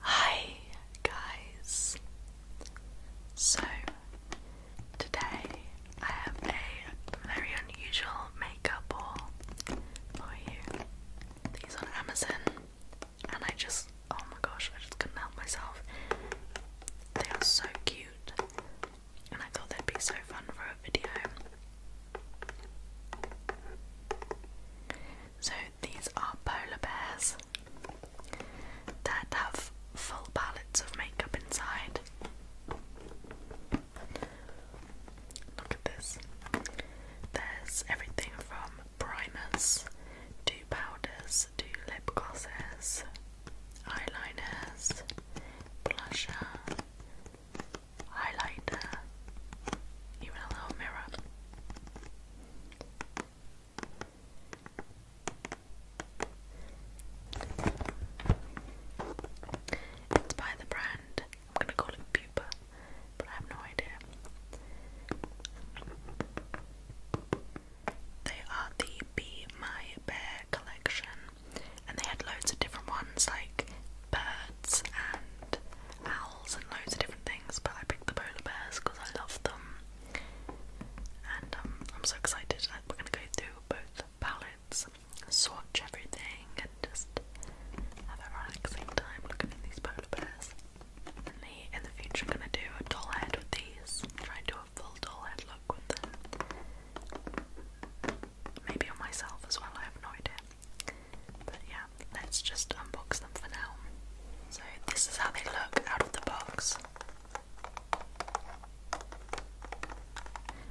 Hi guys! So today I have a very unusual makeup haul for you. These on Amazon and I just oh my gosh I just couldn't help myself. They are so cute and I thought they'd be so fun for a video. So these are polar bears that have full pallets of makeup inside. Look at this. There's everything from primers to powders to lip glosses, eyeliners, blusher, highlighter, even a little mirror. It's by the brand. I'm gonna call it Pupa, but I have no idea. They are the Be My Bear collection, and they had loads of different ones like birds and owls and loads of different things, but I picked the polar bears because I love them. And um, I'm so excited that we're gonna go through both palettes, swatch everything, and just have a relaxing time looking at these polar bears. And the, in the future, I'm gonna do a doll head with these, try and do a full doll head look with them. Maybe on myself as well, I have no idea. But yeah, let's just unbox them for now. So, this is how they look out of the box.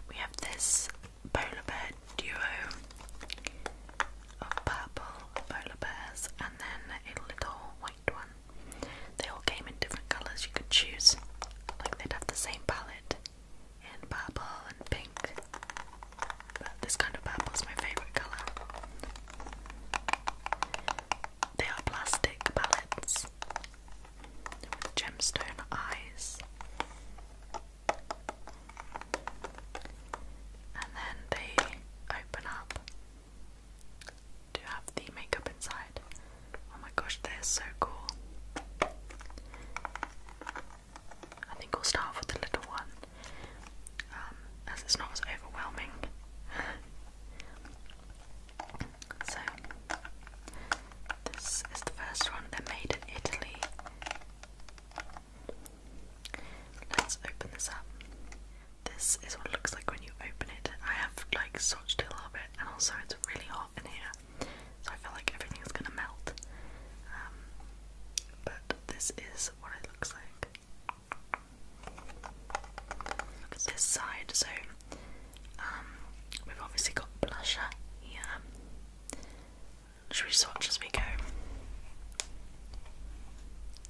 We have this polar bear duo of purple polar bears and then a little white one. They all came in different colours you could choose, like they'd have the same palette in purple and pink. But this kind of purple is my favourite colour. They are plastic palettes with gemstone eyes. And then they open up to have the makeup inside. Oh my gosh, they're so cool. I think we'll start with the little one. Um, as it's not as overwhelming. so, this is the first one. They're made in Italy. Let's open this up. This is what it looks like when you open it. I have like swatched it a little bit, and also it's really hot in here, so I feel like everything is gonna melt. Um, but this is what it looks like this side. So, um, we've obviously got blusher here. Should we swatch as we go?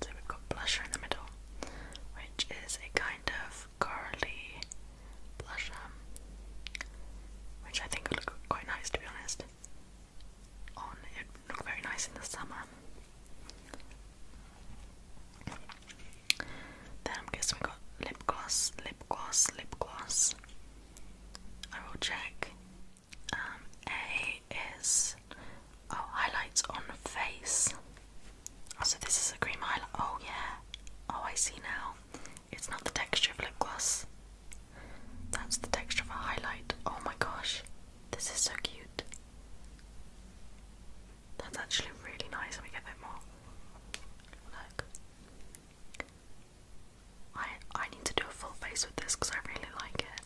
So we've got blusher in the middle, which is a kind of corally blusher, which I think would look quite nice to be honest. On it would look very nice in the summer. Then I'm guessing we got lip gloss, lip gloss, lip gloss. I will check. Um, a is oh highlights on face. Oh, so this is a cream highlight. Oh yeah. Oh, I see now. It's not the texture of lip gloss. That's the texture of a highlight. Oh my gosh, this is so cute. That's actually really nice. Let me get a bit more. Look. I I need to do a full face with this because I really like it.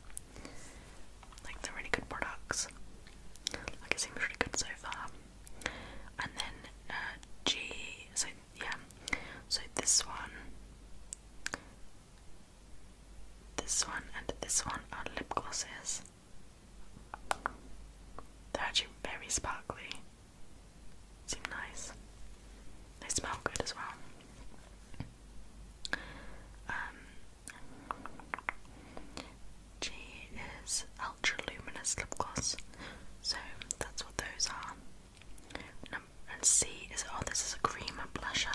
Like they're really good products. Like it seems really good so far. And then uh, G. So yeah. So this one, this one, and this one are lip glosses. They're actually very sparkly. Seem nice. They smell good as well. Um, G is ultra luminous lip gloss, so that's what those are. And C is oh, this is a cream blusher.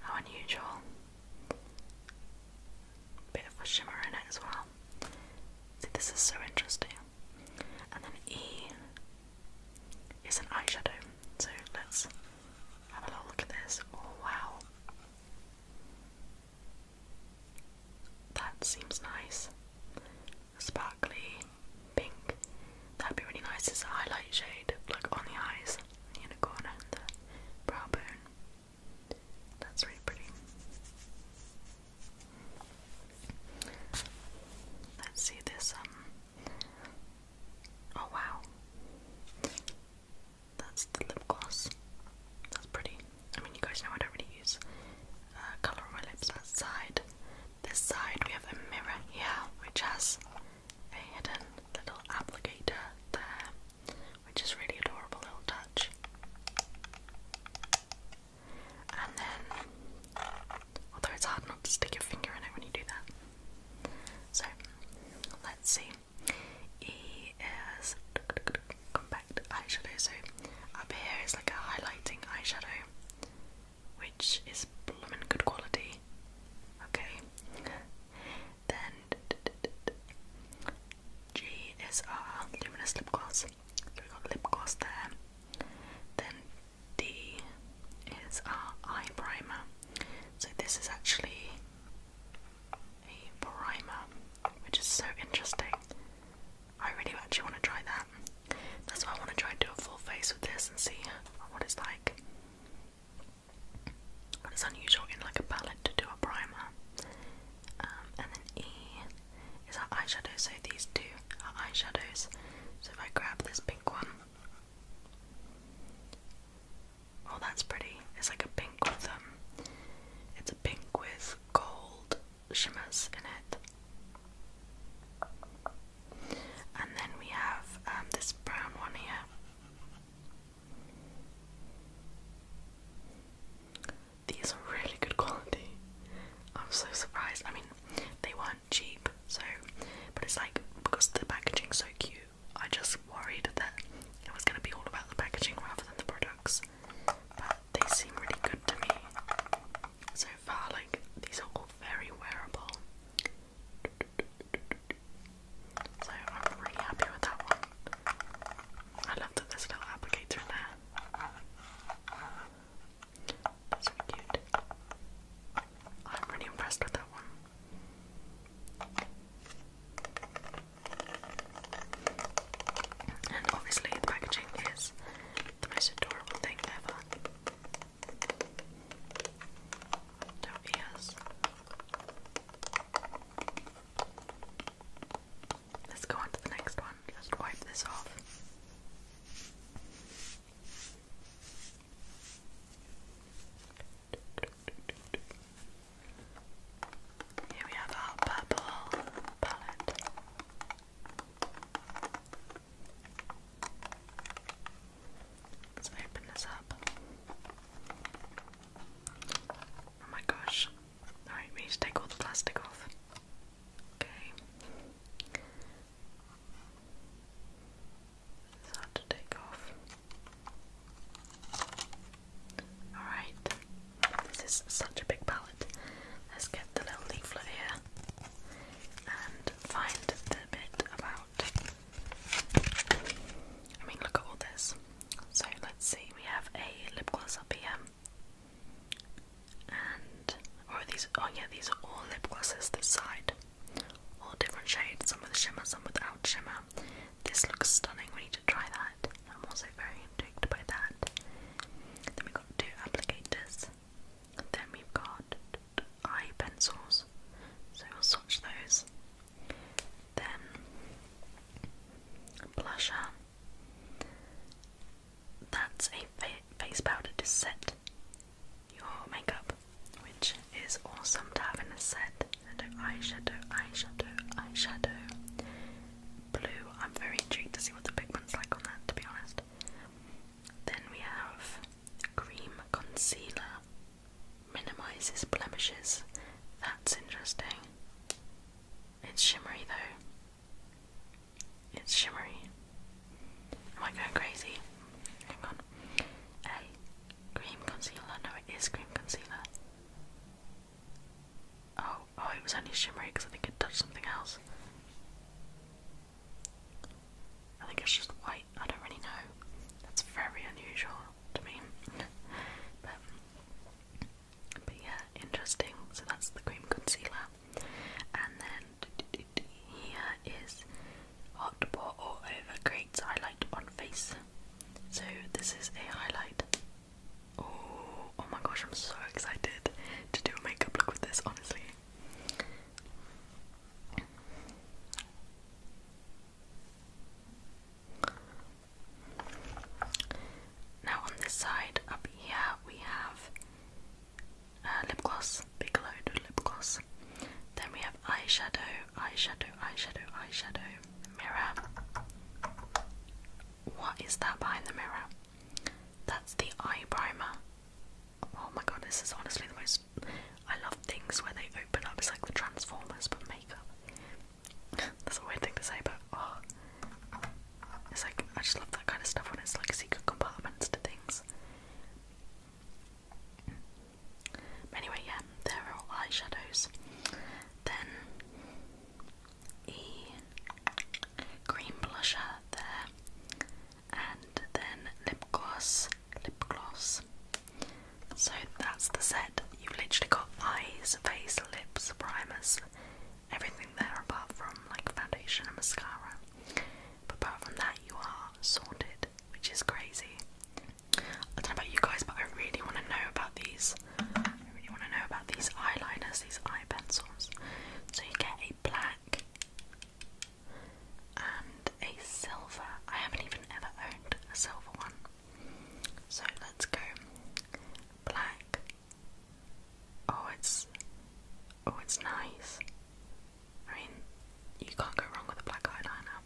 How unusual. Bit of a shimmer in it as well. this is so interesting. And then E is an eyeshadow. So let's have a little look at this. Oh wow. That seems nice. Sparkly pink. That'd be really nice as a highlight shade, like on the eyes, in the corner, the brow bone. That's really pretty. Let's see this, um, oh wow, that's the lip gloss, that's pretty, I mean you guys know I don't really use uh, colour on my lips, that side, this side we have a mirror here which has a hidden little applicator there which is really adorable little touch. And then, although it's hard not to stick your finger in it when you do that. So, let's see. E is compact eyeshadow. So, up here is like a highlighting eyeshadow, which is bloomin' good quality. Okay. Then G is our luminous lip gloss. So we got lip gloss there. Then D is our eye primer. So this is actually a primer, which is so interesting. I really actually want to try that. That's why I want to try and do a full face with this and see what it's like it's unusual in like a palette to do a primer. Um, and then E is our eyeshadow, so these two are eyeshadows. So if I grab this pink one, oh that's pretty. It's like a pink with um it's a pink with gold shimmers in it. And then we have um, this brown one here. These are really good quality. I'm so surprised. I mean, they weren't cheap, so but it's like because the packaging's so cute, I just worried that it was gonna be all about the packaging rather than the products. But they seem really good to me so far. Like these are all very wearable. So I'm really happy with that one. I love that there's little applicator in there. That's cute. I'm really impressed with that one. And obviously, the packaging is the most adorable thing ever. Little ears. Let's go on to the next one. Just wipe this off. Here we have our purple palette. Let's open this up. Oh my gosh. Alright, we need to take all the plastic off. Okay. It's hard to take off. Alright. This is such a big palette. Let's get the little leaflet here and find the bit about. I mean, look at all this. So let's see, we have a lip gloss up here. And oh, oh yeah, these are all lip glosses this side. All different shades, some with shimmer, some without shimmer. This looks stunning, we need to try that. I'm also very intrigued by that. Then we've got two applicators. then we got eye pencils. So we'll swatch those then blusher. That's a face powder to set your makeup, which is awesome to have in a set. Shadow, eyeshadow, eyeshadow, eyeshadow. Blue. I'm very intrigued to see what the pigment's like on that, to be honest. Then we have cream concealer minimizes blemishes. That's interesting. It's shimmery though. It's shimmery. Am I going crazy? Hang on. A cream concealer. No, it is cream concealer. Oh, oh, it was only shimmery because I think it touched something else. I think it's just white. I don't really know. That's very unusual to me. but but yeah, interesting. So that's the cream concealer. And then here is hot pot over creates highlight on face. So this is a highlight. Oh, oh my gosh, I'm so excited to do a makeup look with this, honestly. Now on this side up here we have uh, lip gloss, big load of lip gloss. Then we have eyeshadow, eyeshadow, eyeshadow, eyeshadow, mirror. What is that behind the mirror? That's the eye primer. Oh my god, this is honestly the most. I love things where they open up. It's like the Transformers, but makeup. That's a weird thing to say, but oh, it's like I just love that kind of stuff when it's like secret compartments to things. But anyway, yeah, there are all eyeshadows. Then a green blusher there, and then lip gloss, lip gloss. So that's the set. You've literally got eyes, face, lips, primers, everything there apart from like foundation and mascara. But apart from that, you are sorted, which is crazy. I don't know about you guys, but I really want to know about these. I really want to know about these eyeliners, these eye pencils. So you get a black and a silver. I haven't even ever owned a silver one. So let's go black. Oh, it's oh, it's nice. I mean, you can't go wrong with a black eyeliner.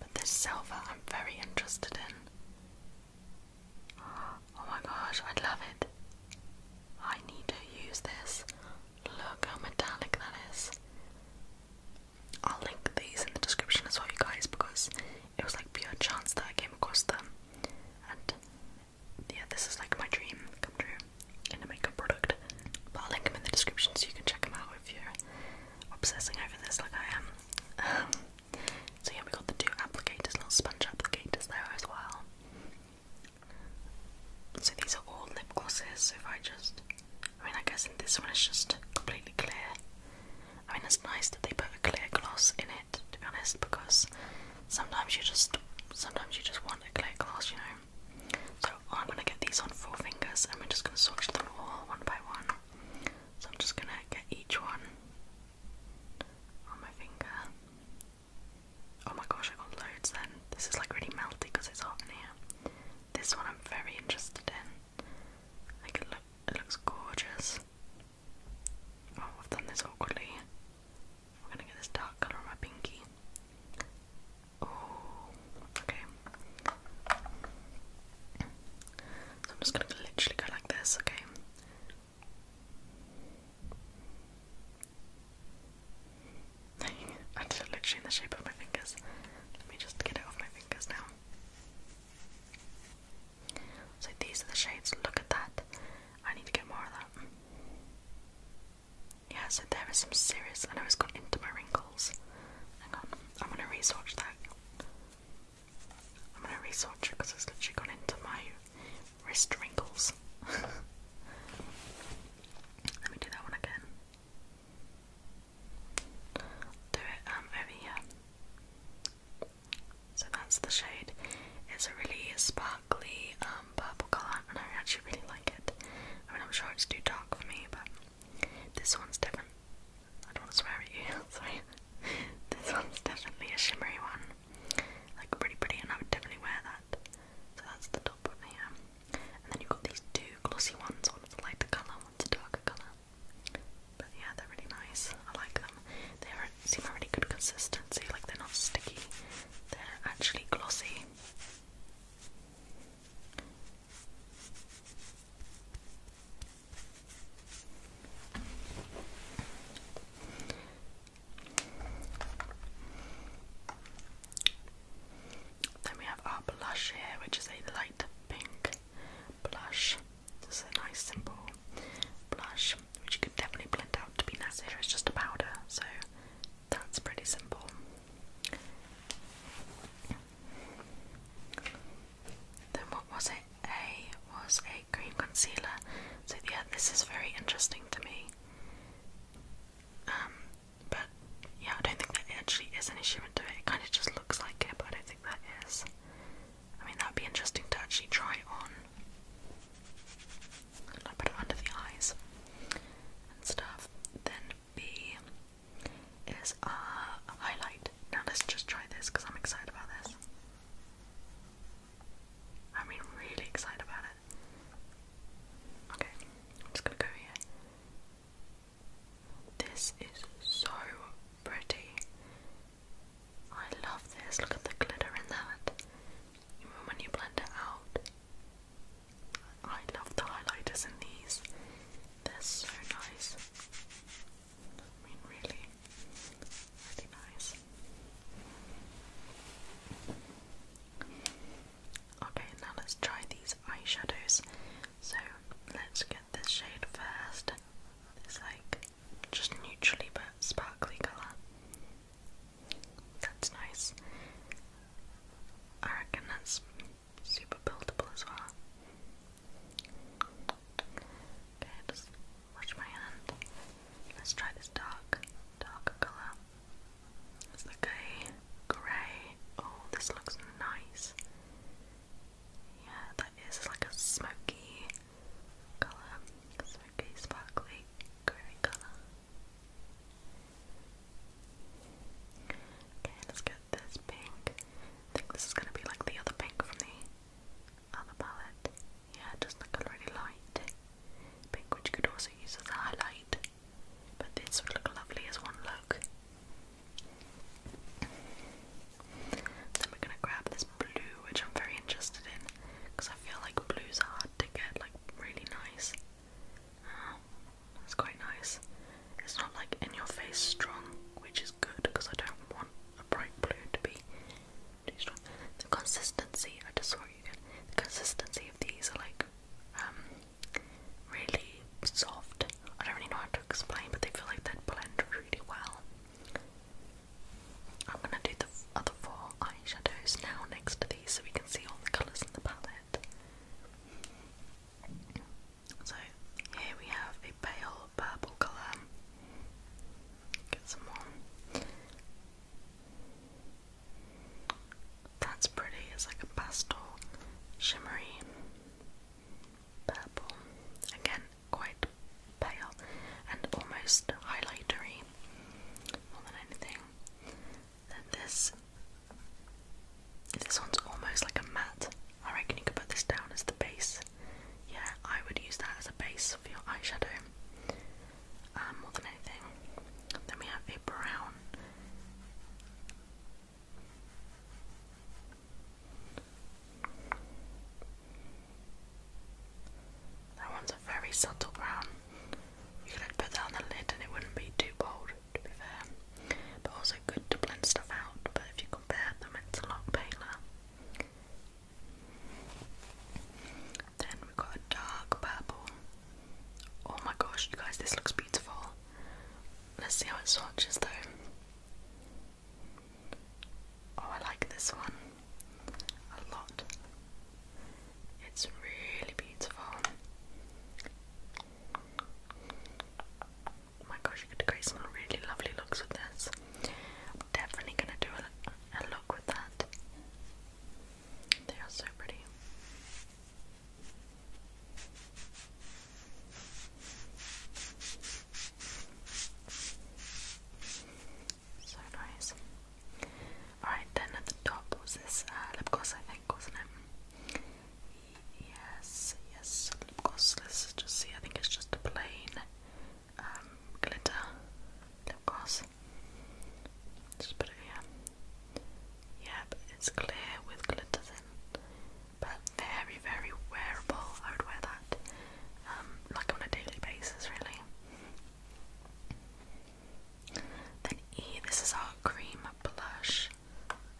But this silver, I'm very interested in. Oh my gosh, I would love it. I need to use this. Look how metallic that is. I'll link these in the description as well, you guys, because it was like pure chance that I came across them. And yeah, this is like my dream come true in a makeup product. But I'll link them in the description so you can check them out if you're obsessing over this like I am. Um, so yeah, we got the two applicators, little sponge applicators there as well. So these are all lip glosses. So if I just, I mean, I guess in this one it's just completely clear. I mean, it's nice that they put a clear gloss in it, to be honest, because sometimes you just sometimes you just want a clear gloss, you know. So I'm gonna get these on four fingers, and we're just gonna swatch them all one by one. So I'm just gonna get each one on my finger. Oh my gosh, I got loads then. This is like really melty because it's hot in here. This one I'm very interested in it, looks gorgeous. Oh, I've done this awkwardly. We're gonna get this dark colour on my pinky. Oh, okay. I'm just gonna literally go like this, okay? I did it literally in the shape of my fingers. Let me just get it off my fingers now. So these are the shades. Look at that. I need to get more of that. Yeah, so there is some serious. I know it's gone into my wrinkles. Hang on. I'm gonna research that. I'm gonna research it because it's literally gone into my wrist wrinkles. Let me do that one again. Do it um so that's the shade. It's a really sparkly um, purple colour and I actually really like it. I mean, I'm sure it's too dark for me, but this one's different. I don't want to swear at you, sorry. this one's definitely a shimmery one. Like, pretty pretty, and I would definitely wear that. So that's the top of here. And then you've got these two glossy ones. One's a lighter colour, one's a darker colour. But yeah, they're really nice. I like them. They seem a really good consistency, like they're not sticky, they're actually glossy. Then we have our blush here, which is a light pink blush. This is a nice simple blush, which you can definitely blend out to be nice. Here, It's just a powder, so that's pretty simple. Then what was it? A was a cream concealer. So yeah, this is very interesting to me. Um, but yeah, I don't think that actually is an issue with it. It kind of just looks like it, but I don't think that is. I mean, that'd be interesting to actually try it on. I put it under the eyes and stuff. Then B is uh, a highlight. Now let's just try this because I'm excited about this. I mean, really excited about it. Okay, I'm just gonna go here. This is so pretty. I love this. Look at the glitter in that. Even when you blend it out. I love the highlighters in these. They're so nice. I mean, really, really nice. Okay, now let's try these eyeshadows. So let's get this shade first. It's like just neutrally but sparkly colour. That's nice. I reckon that's super buildable as well. Okay, just wash my hand. Let's try this dark, dark colour. It's like a grey. Oh, this looks nice. Yeah, that is like a smoky color, smoky, sparkly, grey color. Okay, let's get this pink. I think this is going to be like the other pink from the other palette. Yeah, just like a really light pink, which could also use as a highlight. But this would look lovely as one look. Then we're gonna grab this blue, which I'm very interested in, because I feel like blues are hard to get, like really nice. Oh, um, that's quite nice. It's not like in your face strong, which is good because I don't want a bright blue to be too strong. The consistency, I just saw you get. The consistency of these are like um, really soft. I don't really know how to explain, but they feel like they blend really well. I'm gonna do the other four eyeshadows now next to these so we can see all the colours in the palette. So here we have a pale purple colour. Get some more. That's pretty, it's like a pastel shimmery purple. Again, quite pale and almost highlightery more than anything. Then this this one's almost like a matte. I reckon you could put this down as the base. Yeah, I would use that as a base for your eyeshadow. Uh, more than anything. Then we have a brown. That one's a very subtle brown. You could put that on the lid and it wouldn't be too bold, to be fair. But also good to blend stuff out, but if you compare them, it's a lot paler. Then we've got a dark purple. Oh my gosh, guys, this looks beautiful. Let's see how it swatches though. Oh, I like this one a lot. It's really beautiful. Oh my gosh, you could create some really lovely looks with this. definitely gonna do a look with that. They are so pretty. So nice. Alright, then at the top was this uh, lip gloss, I think, wasn't it? Yes, yes, lip gloss. Let's just see. I think it's just a plain um, glitter lip gloss. Just put it here. Yeah, but it's clear with glitters in. But very, very wearable. I would wear that um, like on a daily basis, really. Then E, this is our cream blush.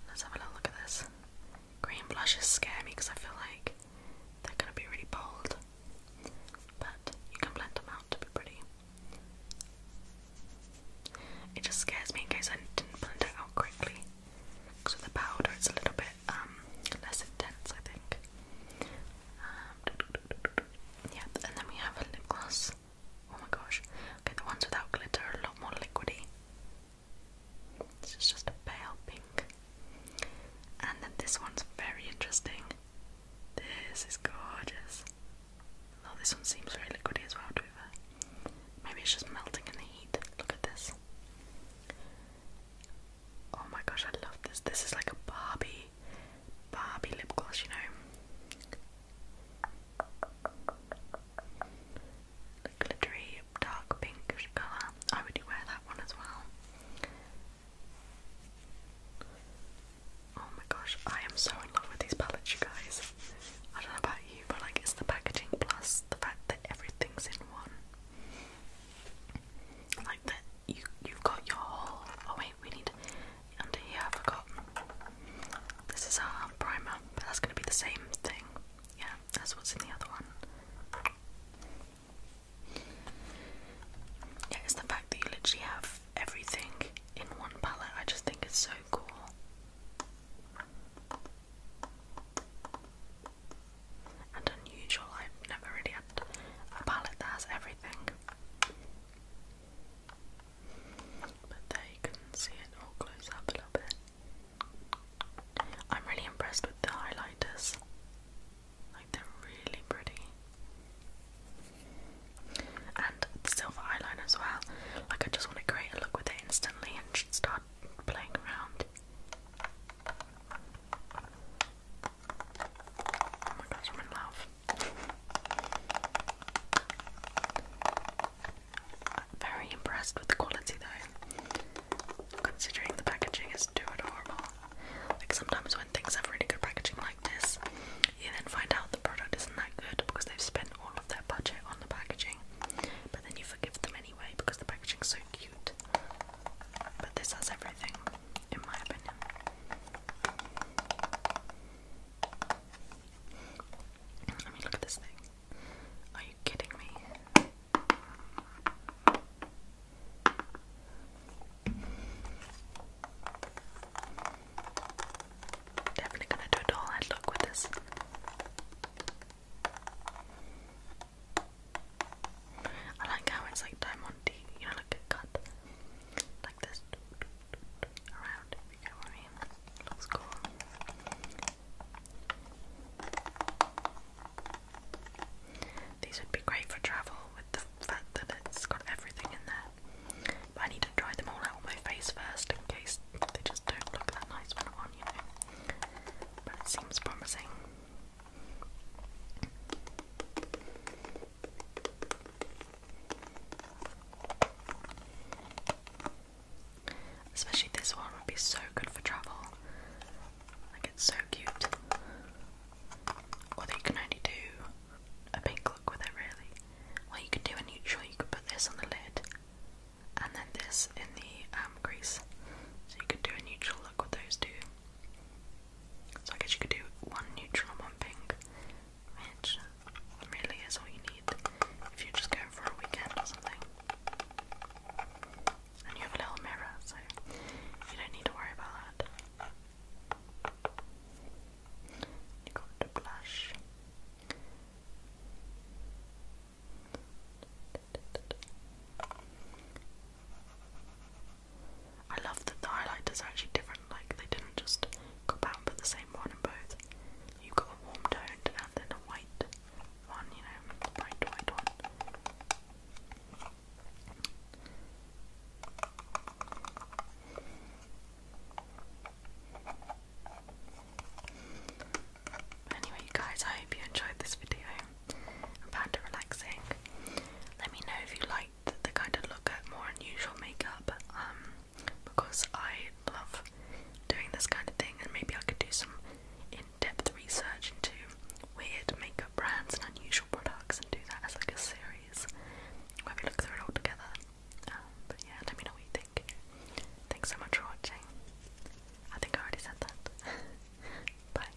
Let's have a look at this. Green blushes scare me because I feel like they're gonna be really bold, but you can blend them out to be pretty. It just scares me in case I didn't blend it out quickly because the powder it's a little bit um, less intense, I think. Um, yeah, and then we have a lip gloss. Oh my gosh. Okay, the ones without glitter are a lot more liquidy. This is just a pale pink. And then this one's very interesting. This is gorgeous. Though this one seems very liquidy as well, to Maybe it's just melting in the heat. Look at this. Oh my gosh, I love this. This is like a Barbie, Barbie lip gloss, you know. glittery, dark pinkish colour. I would wear that one as well. Oh my gosh, I am so in love with these palettes, you guys. I don't know about you, but like it's the packaging plus the fact that everything's in one that you you've got your oh wait we need under here I forgot this is our primer but that's gonna be the same thing yeah that's what's in the other one yeah it's the fact that you literally have everything in one palette I just think it's so cool and unusual. I've never really had a palette that has everything. But there you can see it all close up a little bit. I'm really impressed with the highlighters. Like they're really pretty. And the silver eyeliner as well. Like I just want to create a look with it instantly and start playing around. Oh my gosh, I'm in love. Very impressed with the quality though, considering the packaging is adorable. Like sometimes when things have really good packaging like this, you then find out the product isn't that good because they've spent all of their budget on the packaging, but then you forgive them anyway because the packaging's so cute. But this has everything in my opinion. I mean, look at this thing. Are you kidding me? Definitely gonna do a doll head look with this. I like how it's like diamante, you know, like cut like this around Looks cool. These would be great for travel with the fact that it's got everything in there. But I need to try them all out on my face first in case they just don't look that nice when I'm on, you know. But it seems promising. Especially this one would be so good for travel. Like it's so cute. Although you can only do a pink look with it really. Well you could do a neutral, you could put this on the lid and then this in the um, crease. So you could do a neutral look with those two. So I guess you could do one neutral and one pink, which really is all you need if you're just going for a weekend or something. And you have a little mirror, so you don't need to worry about that. You got the blush. I love that the highlighters are actually different, like they didn't just go back and put the same one in both. you got a warm toned and then a white one, you know, bright white one. Anyway, you guys, I hope you enjoyed this video and found it relaxing. Let me know if you liked like the kind of look at more unusual makeup um, because I love doing this kind of thing, and maybe I could do some in depth research into weird makeup brands and unusual products and do that as like a series where we look through it all together. Um, but yeah, let me know what you think. Thanks so much for watching. I think I already said that. Bye.